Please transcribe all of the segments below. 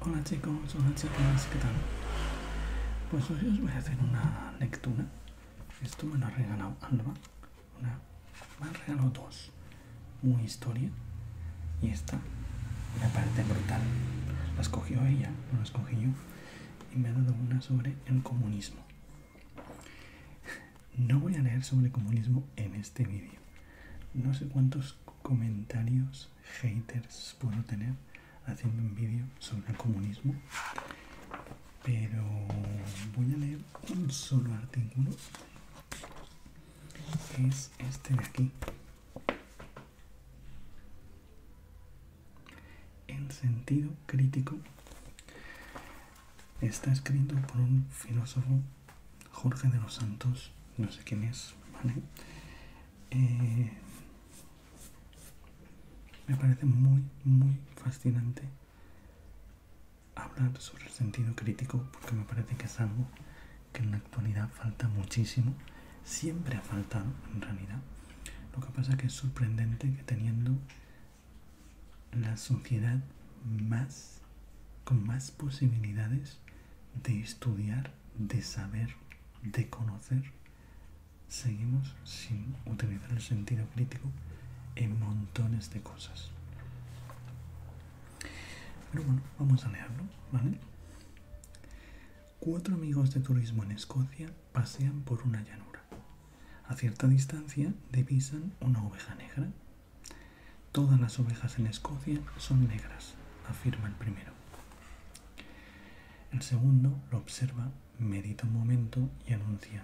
Hola chicos, hola chicas, ¿qué tal? Pues hoy os voy a hacer una lectura. Esto me lo ha regalado Alba. Una, me ha regalado dos. Una historia y esta una parte brutal. La escogió ella, no la escogí yo. Y me ha dado una sobre el comunismo. No voy a leer sobre comunismo en este vídeo. No sé cuántos comentarios haters puedo tener haciendo un vídeo sobre el comunismo pero voy a leer un solo artículo es este de aquí En sentido crítico está escrito por un filósofo Jorge de los Santos, no sé quién es, ¿vale? Eh, me parece muy, muy fascinante hablar sobre el sentido crítico porque me parece que es algo que en la actualidad falta muchísimo, siempre ha faltado en realidad. Lo que pasa es que es sorprendente que teniendo la sociedad más con más posibilidades de estudiar, de saber, de conocer, seguimos sin utilizar el sentido crítico en montones de cosas. Pero bueno, vamos a leerlo, ¿vale? Cuatro amigos de turismo en Escocia pasean por una llanura. A cierta distancia divisan una oveja negra Todas las ovejas en Escocia son negras, afirma el primero. El segundo lo observa, medita un momento y anuncia,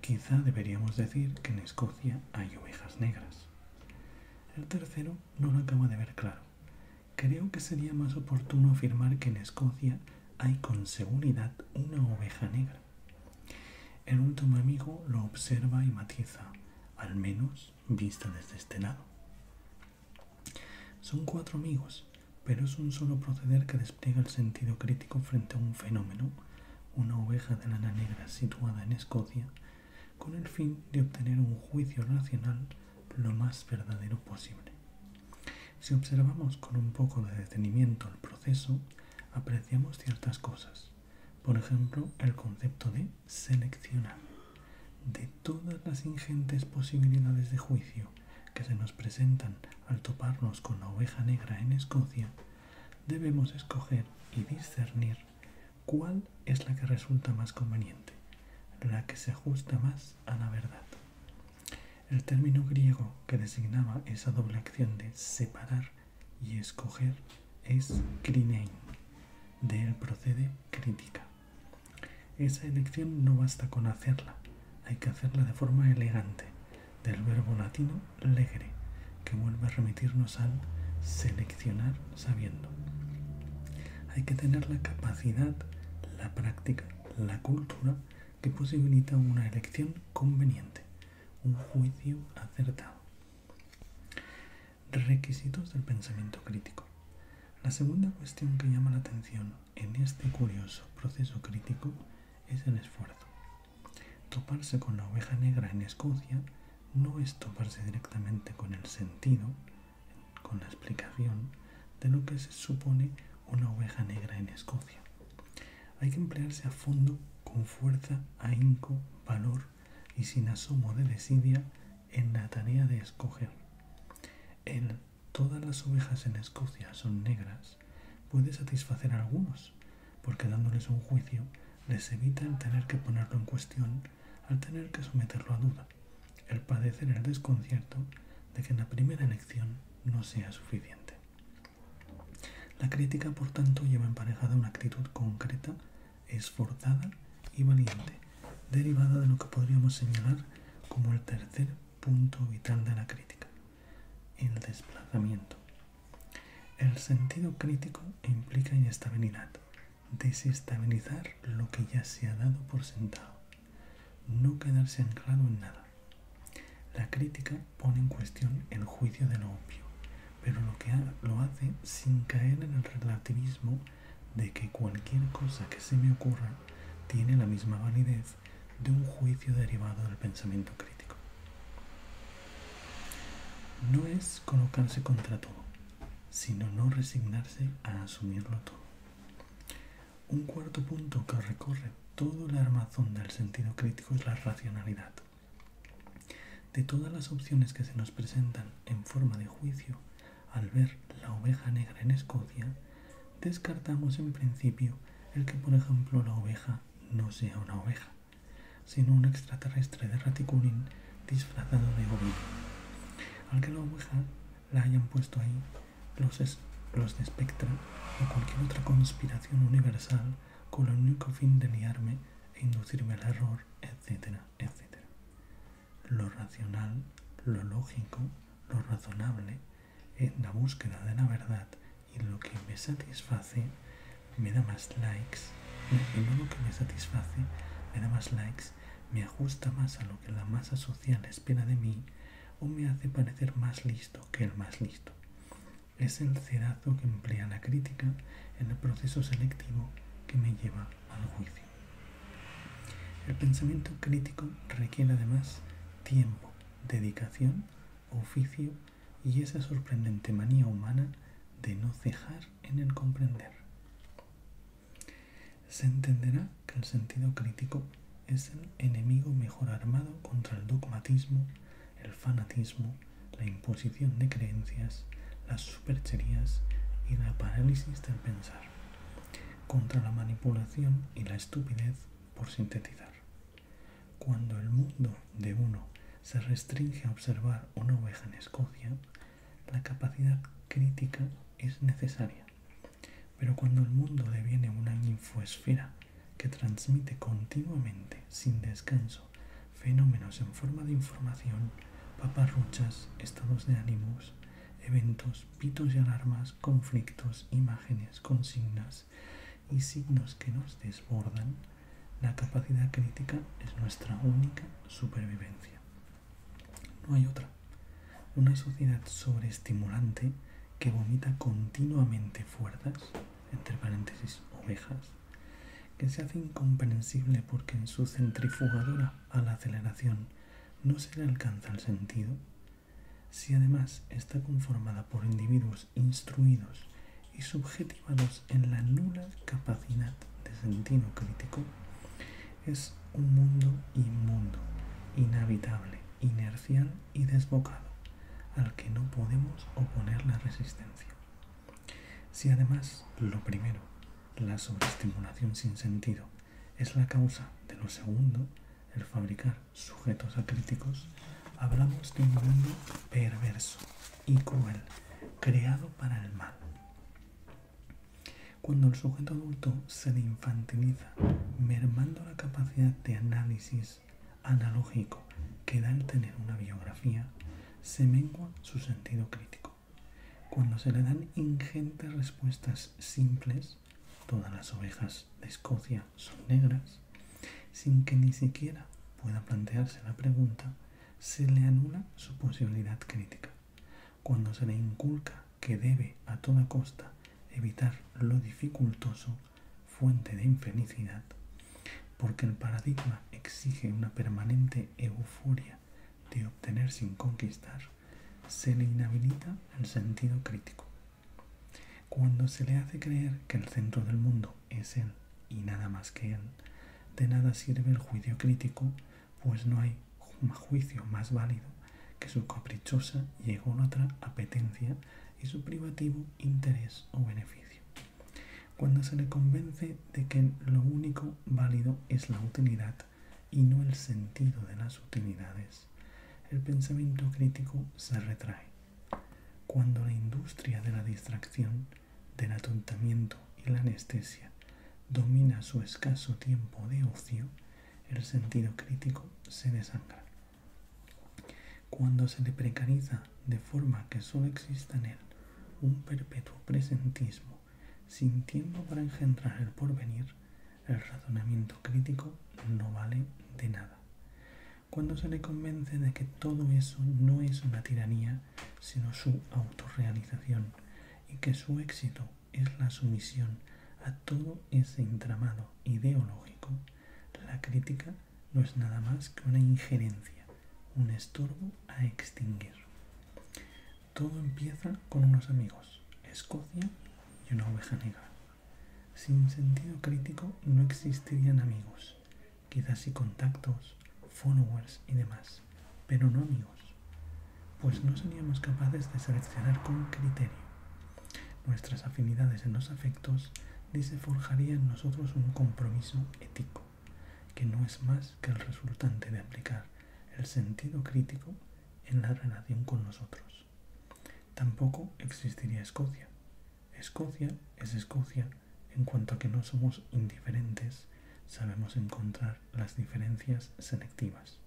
quizá deberíamos decir que en Escocia hay ovejas negras. El tercero no lo acaba de ver claro. Creo que sería más oportuno afirmar que en Escocia hay con seguridad una oveja negra. El último amigo lo observa y matiza, al menos vista desde este lado. Son cuatro amigos, pero es un solo proceder que despliega el sentido crítico frente a un fenómeno, una oveja de lana negra situada en Escocia, con el fin de obtener un juicio racional lo más verdadero posible. Si observamos con un poco de detenimiento el proceso, apreciamos ciertas cosas. Por ejemplo, el concepto de seleccionar. De todas las ingentes posibilidades de juicio que se nos presentan al toparnos con la oveja negra en Escocia, debemos escoger y discernir cuál es la que resulta más conveniente, la que se ajusta más a la verdad. El término griego que designaba esa doble acción de separar y escoger es crinein, De él procede crítica. Esa elección no basta con hacerla, hay que hacerla de forma elegante, del verbo latino legere, que vuelve a remitirnos al seleccionar sabiendo. Hay que tener la capacidad, la práctica, la cultura que posibilita una elección conveniente, un juicio acertado. Requisitos del pensamiento crítico. La segunda cuestión que llama la atención en este curioso proceso crítico es el esfuerzo. Toparse con la oveja negra en Escocia no es toparse directamente con el sentido, con la explicación de lo que se supone una oveja negra en Escocia, hay que emplearse a fondo, con fuerza, ahínco, valor y sin asomo de desidia en la tarea de escoger. El todas las ovejas en Escocia son negras puede satisfacer a algunos, porque dándoles un juicio les evita el tener que ponerlo en cuestión al tener que someterlo a duda, el padecer el desconcierto de que la primera elección no sea suficiente. La crítica, por tanto, lleva emparejada una actitud concreta, esforzada y valiente, derivada de lo que podríamos señalar como el tercer punto vital de la crítica, el desplazamiento. El sentido crítico implica inestabilidad, desestabilizar lo que ya se ha dado por sentado, no quedarse anclado en nada. La crítica pone en cuestión el juicio de lo obvio, pero lo, que lo hace sin caer en el relativismo de que cualquier cosa que se me ocurra tiene la misma validez de un juicio derivado del pensamiento crítico. No es colocarse contra todo, sino no resignarse a asumirlo todo. Un cuarto punto que recorre todo el armazón del sentido crítico es la racionalidad. De todas las opciones que se nos presentan en forma de juicio al ver la oveja negra en Escocia, descartamos en principio el que, por ejemplo, la oveja no sea una oveja, sino un extraterrestre de Raticulín disfrazado de ovino, al que la oveja la hayan puesto ahí los, de o cualquier otra conspiración universal con el único fin de liarme e inducirme al error, etcétera, etcétera. Lo racional, lo lógico, lo razonable, es la búsqueda de la verdad y lo que me satisface me da más likes, y lo que me satisface me da más likes, me ajusta más a lo que la masa social espera de mí o me hace parecer más listo que el más listo. Es el cerazo que emplea la crítica en el proceso selectivo que me lleva al juicio. El pensamiento crítico requiere además tiempo, dedicación, oficio y esa sorprendente manía humana de no cejar en el comprender. Se entenderá que el sentido crítico es el enemigo mejor armado contra el dogmatismo, el fanatismo, la imposición de creencias, las supercherías y la parálisis del pensar, contra la manipulación y la estupidez por sintetizar. Cuando el mundo de uno se restringe a observar una oveja en Escocia, la capacidad crítica es necesaria pero cuando el mundo deviene una infoesfera que transmite continuamente, sin descanso, fenómenos en forma de información, paparruchas, estados de ánimos, eventos, pitos y alarmas, conflictos, imágenes, consignas y signos que nos desbordan, la capacidad crítica es nuestra única supervivencia. No hay otra. Una sociedad sobreestimulante que vomita continuamente fuerzas, entre paréntesis ovejas, que se hace incomprensible porque en su centrifugadora a la aceleración no se le alcanza el sentido, si además está conformada por individuos instruidos y subjetivados en la nula capacidad de sentido crítico, es un mundo inmundo, inhabitable, inercial y desbocado, al que no podemos oponer la resistencia. Si además lo primero, la sobreestimulación sin sentido, es la causa de lo segundo, el fabricar sujetos críticos, hablamos de un mundo perverso y cruel, creado para el mal. Cuando el sujeto adulto se le infantiliza, mermando la capacidad de análisis analógico que da el tener una biografía, se mengua su sentido crítico. Cuando se le dan ingentes respuestas simples, todas las ovejas de Escocia son negras, sin que ni siquiera pueda plantearse la pregunta, se le anula su posibilidad crítica cuando se le inculca que debe a toda costa evitar lo dificultoso, fuente de infelicidad, porque el paradigma exige una permanente euforia de obtener sin conquistar, se le inhabilita el sentido crítico. Cuando se le hace creer que el centro del mundo es él y nada más que él, de nada sirve el juicio crítico pues no hay juicio más válido que su caprichosa y ególatra apetencia y su privativo interés o beneficio. Cuando se le convence de que lo único válido es la utilidad y no el sentido de las utilidades, el pensamiento crítico se retrae. Cuando la industria de la distracción, del atontamiento y la anestesia domina su escaso tiempo de ocio, el sentido crítico se desangra. Cuando se le precariza de forma que solo exista en él un perpetuo presentismo, sin tiempo para engendrar el porvenir, el razonamiento crítico no vale de nada. Cuando se le convence de que todo eso no es una tiranía, sino su autorrealización, y que su éxito es la sumisión a todo ese entramado ideológico, la crítica no es nada más que una injerencia, un estorbo a extinguir. Todo empieza con unos amigos, Escocia y una oveja negra. Sin sentido crítico no existirían amigos, quizás y contactos, followers y demás, pero no amigos, pues no seríamos capaces de seleccionar con criterio. Nuestras afinidades en los afectos ni se forjaría en nosotros un compromiso ético, que no es más que el resultante de aplicar el sentido crítico en la relación con nosotros. Tampoco existiría Escocia. Escocia es Escocia en cuanto a que no somos indiferentes, sabemos encontrar las diferencias selectivas.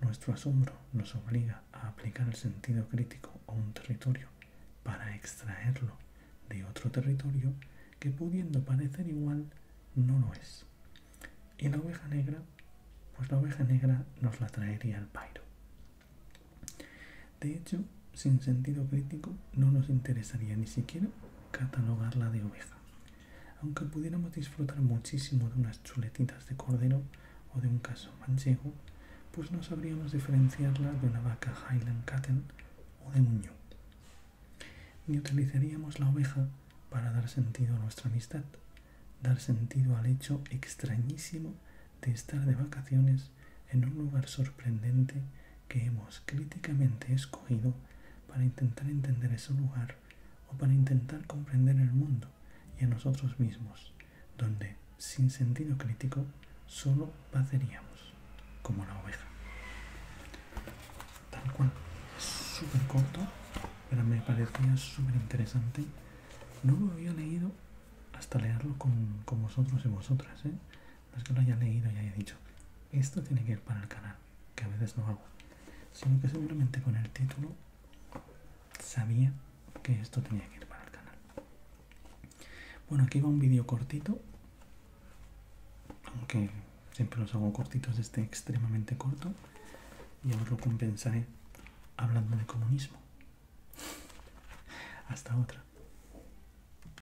Nuestro asombro nos obliga a aplicar el sentido crítico a un territorio para extraerlo de otro territorio que pudiendo parecer igual no lo es. Y la oveja negra, pues la oveja negra nos la traería al pairo. De hecho, sin sentido crítico no nos interesaría ni siquiera catalogarla de oveja. Aunque pudiéramos disfrutar muchísimo de unas chuletitas de cordero o de un caso manchego, pues no sabríamos diferenciarla de una vaca Highland Catten o de un ñu. Ni utilizaríamos la oveja para dar sentido a nuestra amistad, dar sentido al hecho extrañísimo de estar de vacaciones en un lugar sorprendente que hemos críticamente escogido para intentar entender ese lugar o para intentar comprender el mundo y a nosotros mismos, donde sin sentido crítico solo padeceríamos como la oveja. Tal cual, súper corto, pero me parecía súper interesante. No lo había leído hasta leerlo con, vosotros y vosotras, ¿eh? No es que lo haya leído y haya dicho, esto tiene que ir para el canal, que a veces no hago. Sino que seguramente con el título sabía que esto tenía que ir para el canal. Bueno, aquí va un vídeo cortito. Aunque siempre los hago cortitos, este extremadamente corto. Y ahora lo compensaré hablando de comunismo. Hasta otra.